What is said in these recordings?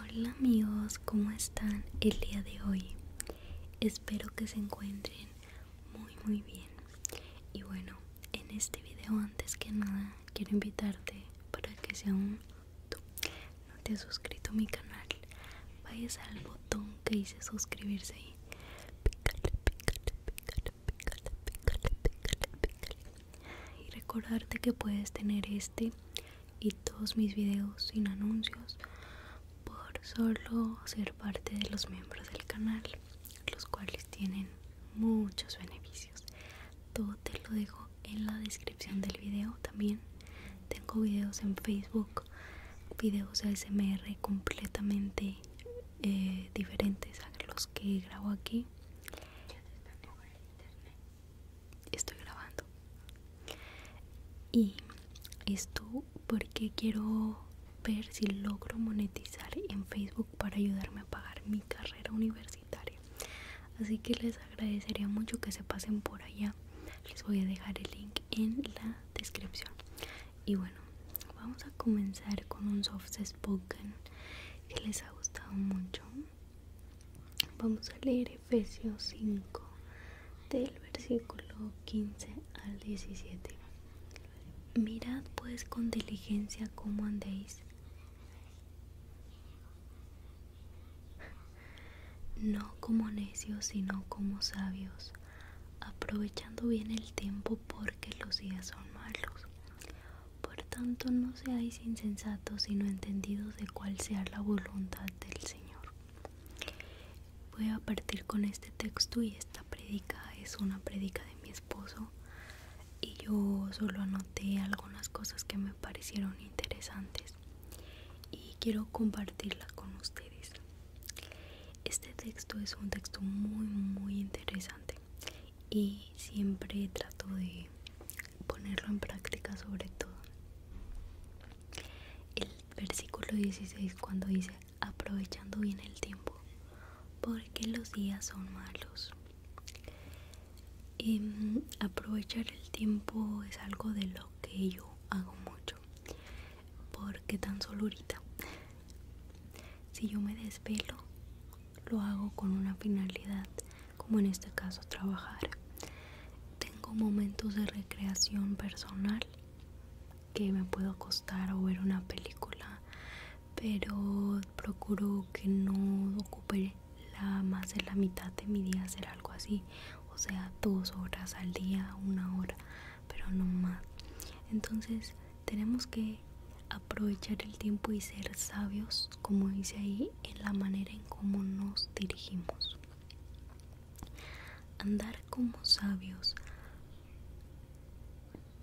Hola amigos, ¿cómo están el día de hoy? Espero que se encuentren muy muy bien. Y bueno, en este video antes que nada quiero invitarte para que si aún no te has suscrito a mi canal, vayas al botón que dice suscribirse ahí. Y recordarte que puedes tener este y todos mis videos sin anuncios por solo ser parte de los miembros del canal, los cuales tienen muchos beneficios. Todo te lo dejo en la descripción del video también. Tengo videos en Facebook, videos ASMR completamente eh, diferentes a los que grabo aquí. internet estoy grabando y esto porque quiero ver si logro monetizar en Facebook para ayudarme a pagar mi carrera universitaria así que les agradecería mucho que se pasen por allá les voy a dejar el link en la descripción y bueno vamos a comenzar con un soft spoken que les ha gustado mucho Vamos a leer Efesios 5 del versículo 15 al 17. Mirad pues con diligencia cómo andéis. No como necios, sino como sabios, aprovechando bien el tiempo porque los días son malos. Por tanto, no seáis insensatos, y no entendidos de cuál sea la voluntad del Señor. Voy a partir con este texto y esta predica es una predica de mi esposo y yo solo anoté algunas cosas que me parecieron interesantes y quiero compartirla con ustedes. Este texto es un texto muy muy interesante y siempre trato de ponerlo en práctica sobre todo. El versículo 16 cuando dice, aprovechando bien el tiempo, porque los días son malos. Em, aprovechar el tiempo es algo de lo que yo hago mucho, porque tan solo ahorita, si yo me desvelo, lo hago con una finalidad como en este caso trabajar. Tengo momentos de recreación personal que me puedo acostar o ver una película, pero procuro que no ocupe la, más de la mitad de mi día hacer algo así, o sea, dos horas al día, una hora, pero no más. Entonces tenemos que aprovechar el tiempo y ser sabios, como dice ahí en la manera en cómo nos dirigimos. Andar como sabios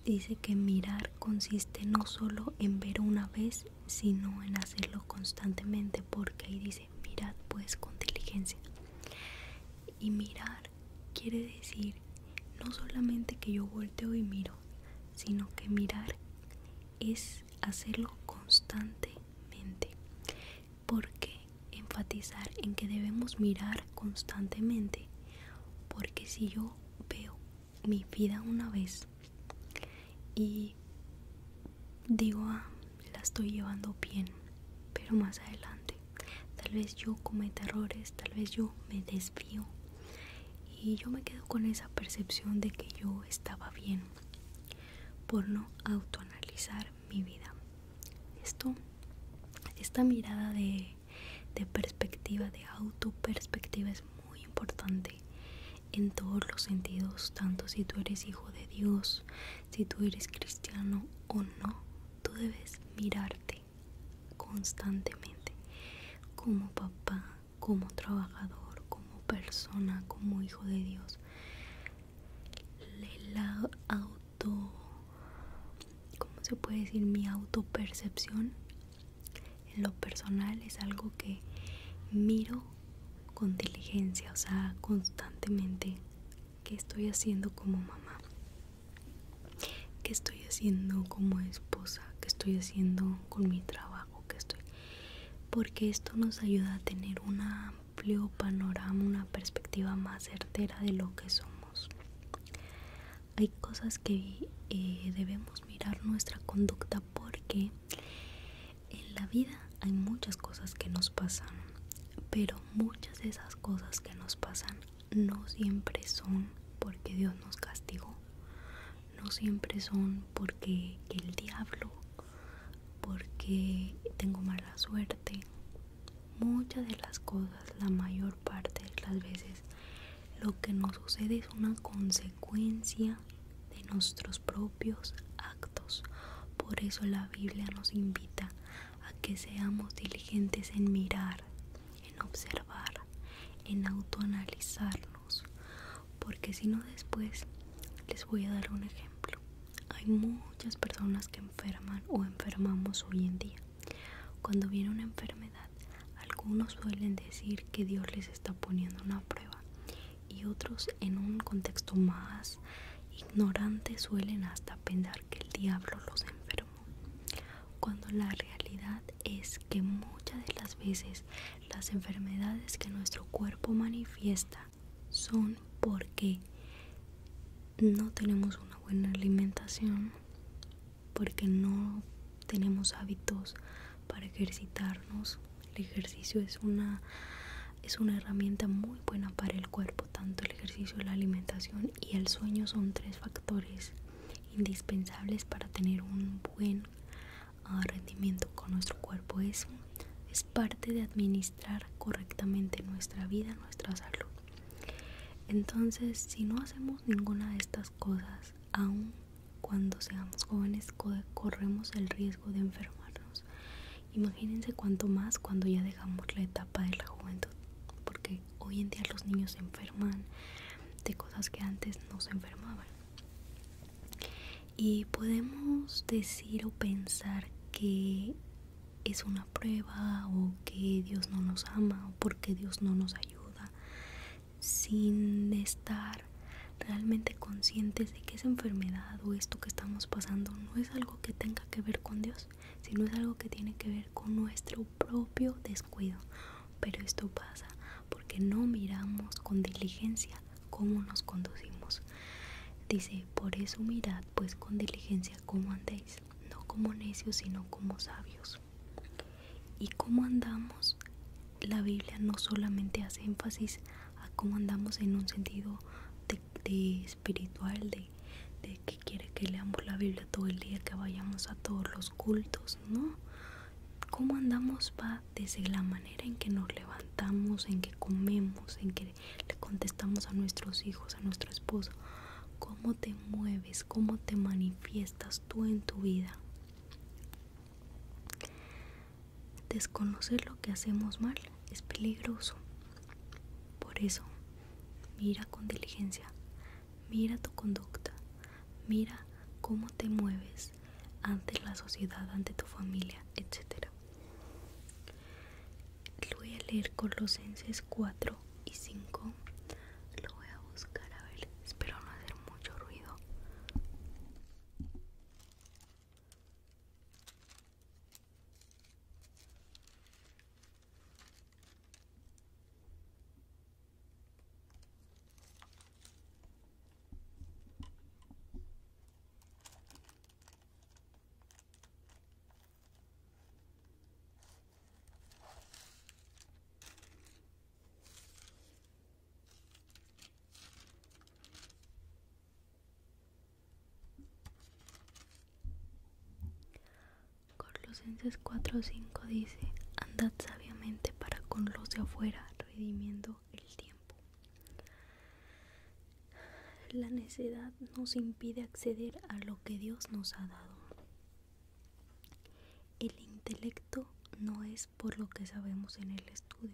dice que mirar consiste no solo en ver una vez, sino en hacerlo constantemente, porque ahí dice mirad pues con diligencia. Y mirar quiere decir no solamente que yo volteo y miro, sino que mirar es hacerlo constante porque enfatizar en que debemos mirar constantemente? Porque si yo veo mi vida una vez y digo, ah, la estoy llevando bien, pero más adelante, tal vez yo cometa errores, tal vez yo me desvío y yo me quedo con esa percepción de que yo estaba bien por no autoanalizar mi vida. Esto, esta mirada de, de perspectiva, de autoperspectiva es muy importante en todos los sentidos, tanto si tú eres hijo de Dios, si tú eres cristiano o no, tú debes mirarte constantemente como papá, como trabajador, como persona, como hijo de Dios la auto ¿cómo se puede decir? mi auto percepción en lo personal es algo que miro con diligencia, o sea, constantemente qué estoy haciendo como mamá, qué estoy haciendo como esposa, qué estoy haciendo con mi trabajo, qué estoy porque esto nos ayuda a tener un amplio panorama, una perspectiva más certera de lo que somos. Hay cosas que eh, debemos mirar nuestra conducta porque en la vida hay muchas cosas que nos pasan, pero muchas de esas cosas que nos pasan no siempre son porque Dios nos castigó, no siempre son porque el diablo porque tengo mala suerte. Muchas de las cosas, la mayor parte de las veces, lo que nos sucede es una consecuencia de nuestros propios actos. Por eso la Biblia nos invita a que seamos diligentes en mirar, en observar, en autoanalizarnos, porque si no después les voy a dar un ejemplo. Hay muchas personas que enferman o enfermamos hoy en día. Cuando viene una enfermedad, algunos suelen decir que Dios les está poniendo una prueba y otros en un contexto más ignorante suelen hasta pensar que el diablo los enfermó. Cuando la realidad es que muchas de las veces las enfermedades que nuestro cuerpo manifiesta son porque no tenemos una buena alimentación, porque no tenemos hábitos para ejercitarnos. El ejercicio es una, es una herramienta muy buena para el cuerpo, tanto el ejercicio, la alimentación y el sueño son tres factores indispensables para tener un buen a rendimiento con nuestro cuerpo. Eso es parte de administrar correctamente nuestra vida, nuestra salud. Entonces, si no hacemos ninguna de estas cosas, aun cuando seamos jóvenes, corremos el riesgo de enfermarnos. Imagínense cuánto más cuando ya dejamos la etapa de la juventud, porque hoy en día los niños se enferman de cosas que antes no se enfermaban y podemos decir o pensar que es una prueba o que Dios no nos ama o porque Dios no nos ayuda sin estar realmente conscientes de que esa enfermedad o esto que estamos pasando no es algo que tenga que ver con Dios, sino es algo que tiene que ver con nuestro propio descuido. Pero esto pasa porque no miramos con diligencia cómo nos conducimos. Dice, por eso mirad pues con diligencia cómo andéis, no como necios, sino como sabios. ¿Y cómo andamos? La Biblia no solamente hace énfasis a cómo andamos en un sentido espiritual, de, de que quiere que leamos la Biblia todo el día, que vayamos a todos los cultos, ¿no? cómo andamos va desde la manera en que nos levantamos, en que comemos, en que le contestamos a nuestros hijos, a nuestro esposo, cómo te mueves, cómo te manifiestas tú en tu vida. Desconocer lo que hacemos mal es peligroso. Por eso, mira con diligencia, mira tu conducta, mira cómo te mueves ante la sociedad, ante tu familia, etcétera voy a leer Colosenses 4 y 5. Lo voy a buscar a ver. Espero no hacer mucho ruido. Colosenses 4:5 dice, andad sabiamente para con los de afuera, redimiendo el tiempo. La necedad nos impide acceder a lo que Dios nos ha dado. El intelecto no es por lo que sabemos en el estudio.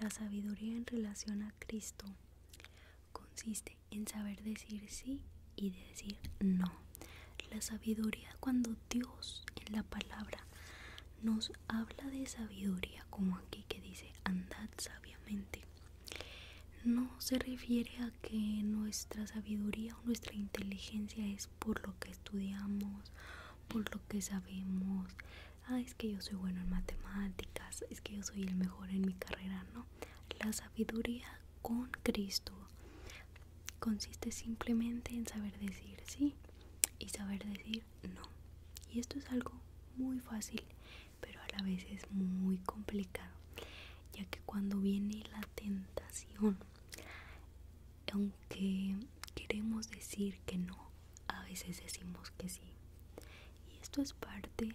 La sabiduría en relación a Cristo consiste en saber decir sí y decir no. La sabiduría cuando Dios en la palabra nos habla de sabiduría, como aquí que dice andad sabiamente, no se refiere a que nuestra sabiduría o nuestra inteligencia es por lo que estudiamos, por lo que sabemos. Ah, es que yo soy bueno en matemáticas, es que yo soy el mejor en mi carrera, no. La sabiduría con Cristo consiste simplemente en saber decir sí y saber decir no. Y esto es algo muy fácil, pero a la vez es muy complicado, ya que cuando viene la tentación, aunque queremos decir que no, a veces decimos que sí. Y esto es parte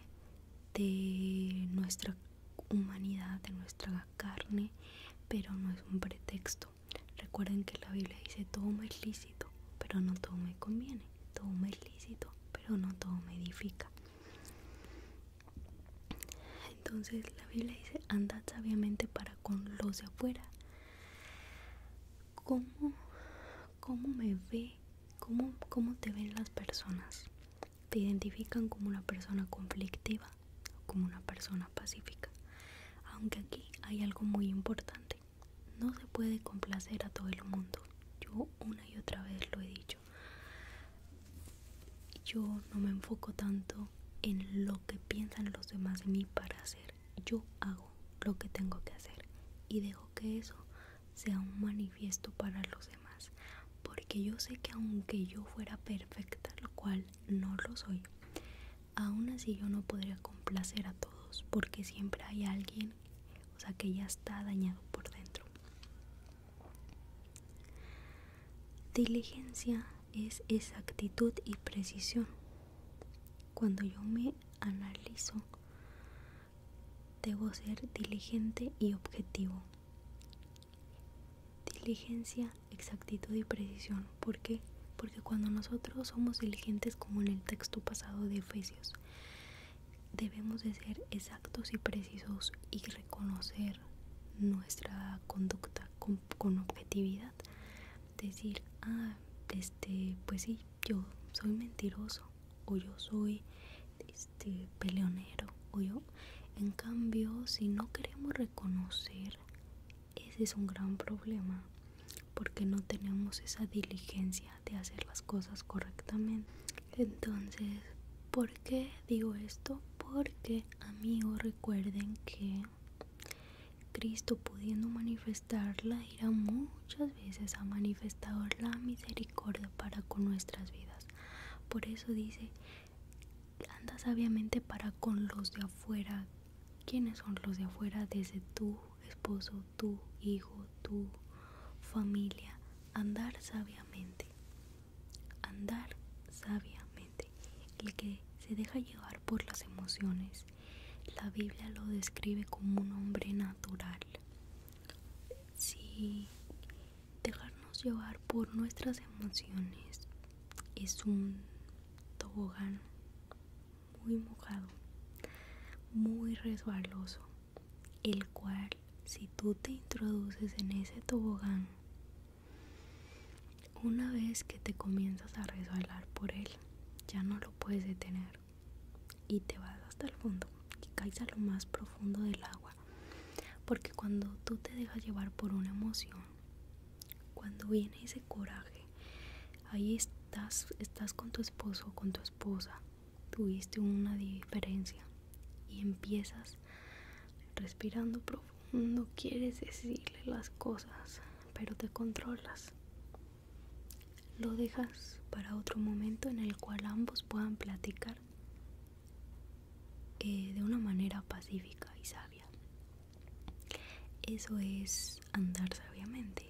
de nuestra humanidad, de nuestra carne, pero no es un pretexto. Recuerden que la Biblia dice, toma el pero no todo me conviene. Todo me es lícito, pero no todo me edifica. Entonces la Biblia dice, andad sabiamente para con los de afuera. ¿Cómo, cómo me ve? ¿Cómo, ¿Cómo te ven las personas? ¿Te identifican como una persona conflictiva o como una persona pacífica? Aunque aquí hay algo muy importante. No se puede complacer a todo el mundo. Yo una y otra vez lo he dicho. Yo no me enfoco tanto en lo que piensan los demás de mí para hacer. Yo hago lo que tengo que hacer y dejo que eso sea un manifiesto para los demás. Porque yo sé que aunque yo fuera perfecta, lo cual no lo soy, aún así yo no podría complacer a todos porque siempre hay alguien o sea que ya está dañado por dentro. Diligencia es exactitud y precisión. Cuando yo me analizo, debo ser diligente y objetivo. Diligencia, exactitud y precisión. ¿Por Porque cuando nosotros somos diligentes, como en el texto pasado de Efesios, debemos de ser exactos y precisos y reconocer nuestra conducta con, objetividad. Decir, ah, este, pues sí, yo soy mentiroso o yo soy este, peleonero o yo. En cambio, si no queremos reconocer, ese es un gran problema porque no tenemos esa diligencia de hacer las cosas correctamente. Entonces, ¿por qué digo esto? Porque, amigos, recuerden que Cristo pudiendo manifestarla, irá muchas veces ha manifestado la misericordia para con nuestras vidas. Por eso dice, anda sabiamente para con los de afuera. ¿Quiénes son los de afuera? Desde tú esposo, tu hijo, tu familia. Andar sabiamente. Andar sabiamente. El que se deja llevar por las emociones. La Biblia lo describe como un hombre natural. Si dejarnos llevar por nuestras emociones es un tobogán muy mojado, muy resbaloso el cual si tú te introduces en ese tobogán, una vez que te comienzas a resbalar por él, ya no lo puedes detener y te vas hasta el fondo y caes a lo más profundo del agua. Porque cuando tú te dejas llevar por una emoción, cuando viene ese coraje, ahí estás, estás con tu esposo con tu esposa tuviste una diferencia y empiezas respirando profundo, quieres decirle las cosas, pero te controlas. Lo dejas para otro momento en el cual ambos puedan platicar eh, de una manera pacífica y sabia. Eso es andar sabiamente.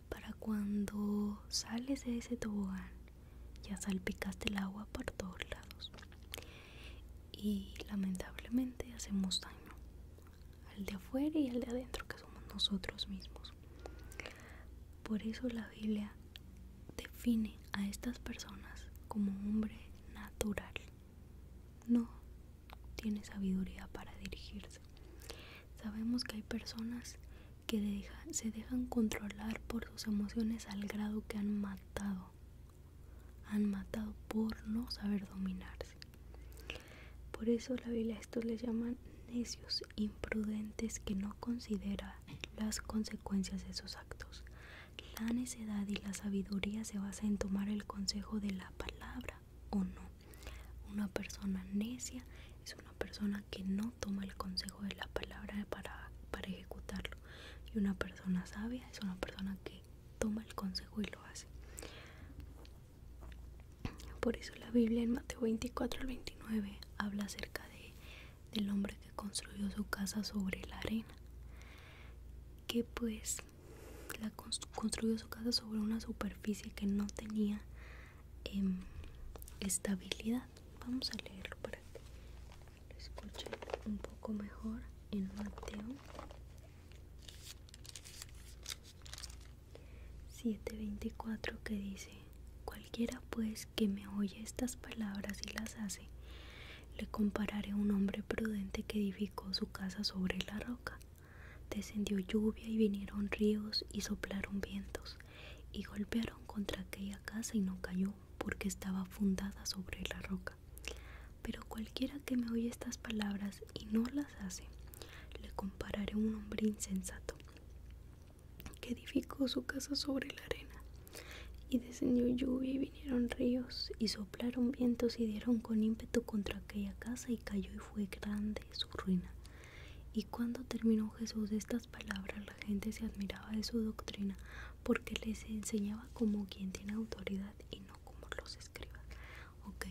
para cuando sales de ese tobogán ya salpicaste el agua por todos lados y lamentablemente hacemos daño al de afuera y al de adentro que somos nosotros mismos por eso la Biblia define a estas personas como hombre natural no tiene sabiduría para dirigirse. Sabemos que hay personas que se dejan controlar por sus emociones al grado que han matado. Han matado por no saber dominarse. Por eso la Biblia a estos les llaman necios, imprudentes que no considera las consecuencias de sus actos. La necedad y la sabiduría se basa en tomar el consejo de la palabra o no. Una persona necia es una persona que no toma el consejo de la palabra para, para ejecutarlo. Y una persona sabia es una persona que toma el consejo y lo hace. Por eso la Biblia en Mateo 24 al 29 habla acerca de, del hombre que construyó su casa sobre la arena. Que pues la construyó su casa sobre una superficie que no tenía en em, estabilidad vamos a leerlo para que lo un poco mejor en Mateo 7:24 que dice cualquiera pues que me oye estas palabras y las hace le compararé a un hombre prudente que edificó su casa sobre la roca Descendió lluvia y vinieron ríos y soplaron vientos y golpearon contra aquella casa y no cayó porque estaba fundada sobre la roca. Pero cualquiera que me oye estas palabras y no las hace, le compararé a un hombre insensato que edificó su casa sobre la arena. Y descendió lluvia y vinieron ríos y soplaron vientos y dieron con ímpetu contra aquella casa y cayó y fue grande su ruina. Y cuando terminó Jesús estas palabras, la gente se admiraba de su doctrina, porque les enseñaba como quien tiene autoridad y no como los escribas. Ok,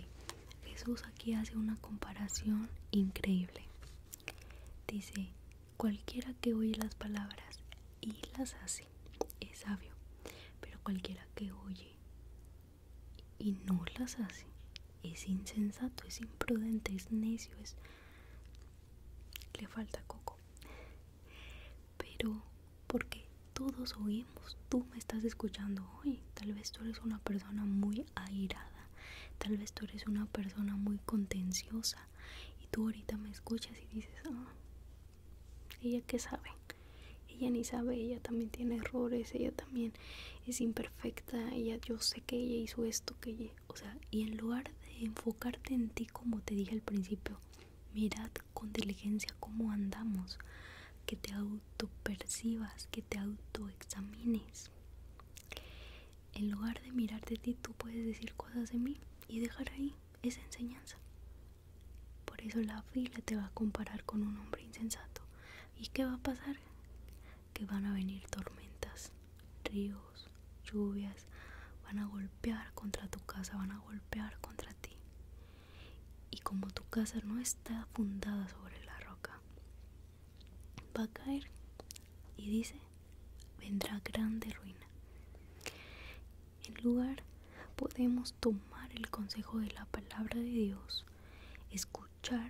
Jesús aquí hace una comparación increíble. Dice, cualquiera que oye las palabras y las hace es sabio, pero cualquiera que oye y no las hace. Es insensato, es imprudente, es necio, es... Le falta coco. Pero, porque todos oímos, tú me estás escuchando hoy. Tal vez tú eres una persona muy airada, tal vez tú eres una persona muy contenciosa y tú ahorita me escuchas y dices, ah, ella qué sabe. Ella ni sabe, ella también tiene errores, ella también es imperfecta, yo sé que ella hizo esto, que ella, o sea, y en lugar de enfocarte en ti como te dije al principio, mirad con diligencia cómo andamos, que te auto percibas, que te auto examines En lugar de mirarte a ti, tú puedes decir cosas de mí y dejar ahí esa enseñanza. Por eso la fila te va a comparar con un hombre insensato. ¿Y qué va a pasar? que van a venir tormentas, ríos, lluvias, van a golpear contra tu casa, van a golpear contra ti. Y como tu casa no está fundada sobre la roca, va a caer y dice, vendrá grande ruina. En lugar podemos tomar el consejo de la palabra de Dios, escuchar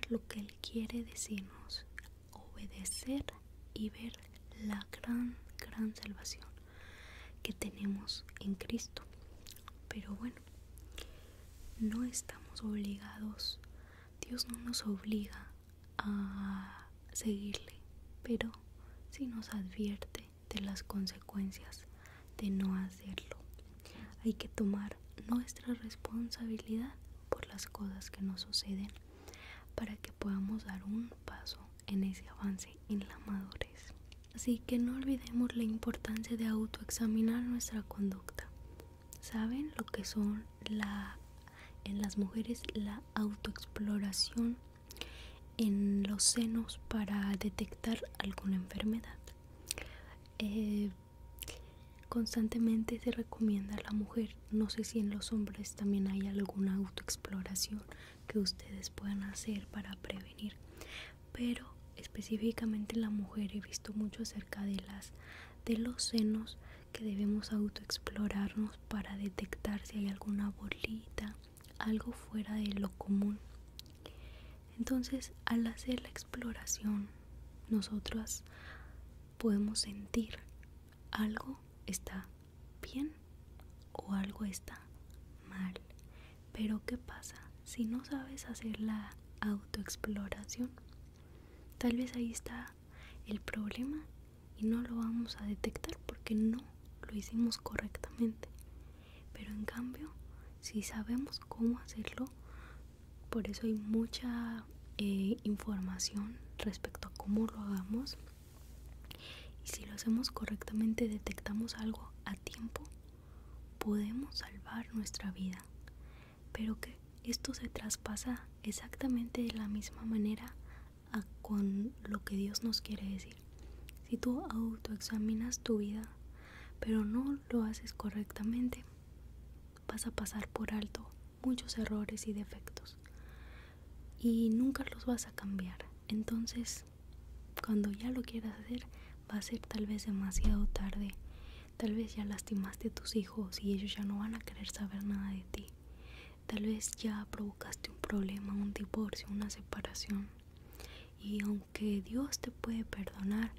lo que Él quiere decirnos, obedecer y ver la gran, gran salvación que tenemos en Cristo. Pero bueno, no estamos obligados, Dios no nos obliga a seguirle, pero si nos advierte de las consecuencias de no hacerlo. Hay que tomar nuestra responsabilidad por las cosas que nos suceden para que podamos dar un paso en ese avance en la madurez. Así que no olvidemos la importancia de autoexaminar nuestra conducta. ¿Saben lo que son la, en las mujeres la autoexploración en los senos para detectar alguna enfermedad? Eh, Constantemente se recomienda a la mujer, no sé si en los hombres también hay alguna autoexploración que ustedes puedan hacer para prevenir, pero específicamente en la mujer he visto mucho acerca de las de los senos que debemos autoexplorarnos para detectar si hay alguna bolita, algo fuera de lo común. Entonces, al hacer la exploración, nosotras podemos sentir algo está bien o algo está mal. Pero ¿qué pasa si no sabes hacer la autoexploración? Tal vez ahí está el problema y no lo vamos a detectar porque no lo hicimos correctamente. Pero en cambio, si sabemos cómo hacerlo, por eso hay mucha eh, información respecto a cómo lo hagamos. Y si lo hacemos correctamente, detectamos algo a tiempo, podemos salvar nuestra vida. Pero que esto se traspasa exactamente de la misma manera con lo que Dios nos quiere decir. Si tú autoexaminas tu vida, pero no lo haces correctamente, vas a pasar por alto muchos errores y defectos y nunca los vas a cambiar. Entonces, cuando ya lo quieras hacer, va a ser tal vez demasiado tarde. Tal vez ya lastimaste a tus hijos y ellos ya no van a querer saber nada de ti. Tal vez ya provocaste un problema, un divorcio, una separación. Y aunque Dios te puede perdonar,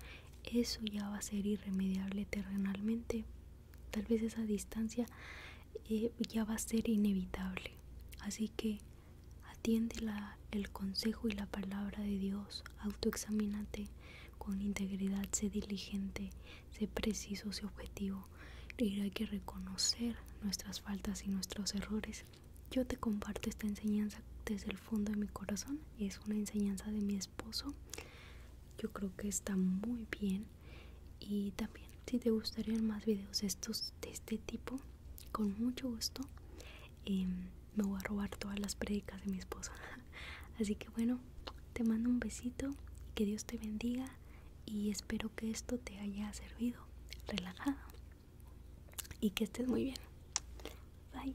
eso ya va a ser irremediable terrenalmente Tal vez esa distancia eh, ya va a ser inevitable. Así que atiende el consejo y la palabra de Dios. Autoexamínate con integridad, sé diligente, sé preciso, sé objetivo. Y hay que reconocer nuestras faltas y nuestros errores. Yo te comparto esta enseñanza desde el fondo de mi corazón. Es una enseñanza de mi esposo yo creo que está muy bien y también si te gustarían más videos estos de este tipo con mucho gusto em, me voy a robar todas las prédicas de mi esposa así que bueno te mando un besito que Dios te bendiga y espero que esto te haya servido relajado y que estés muy bien bye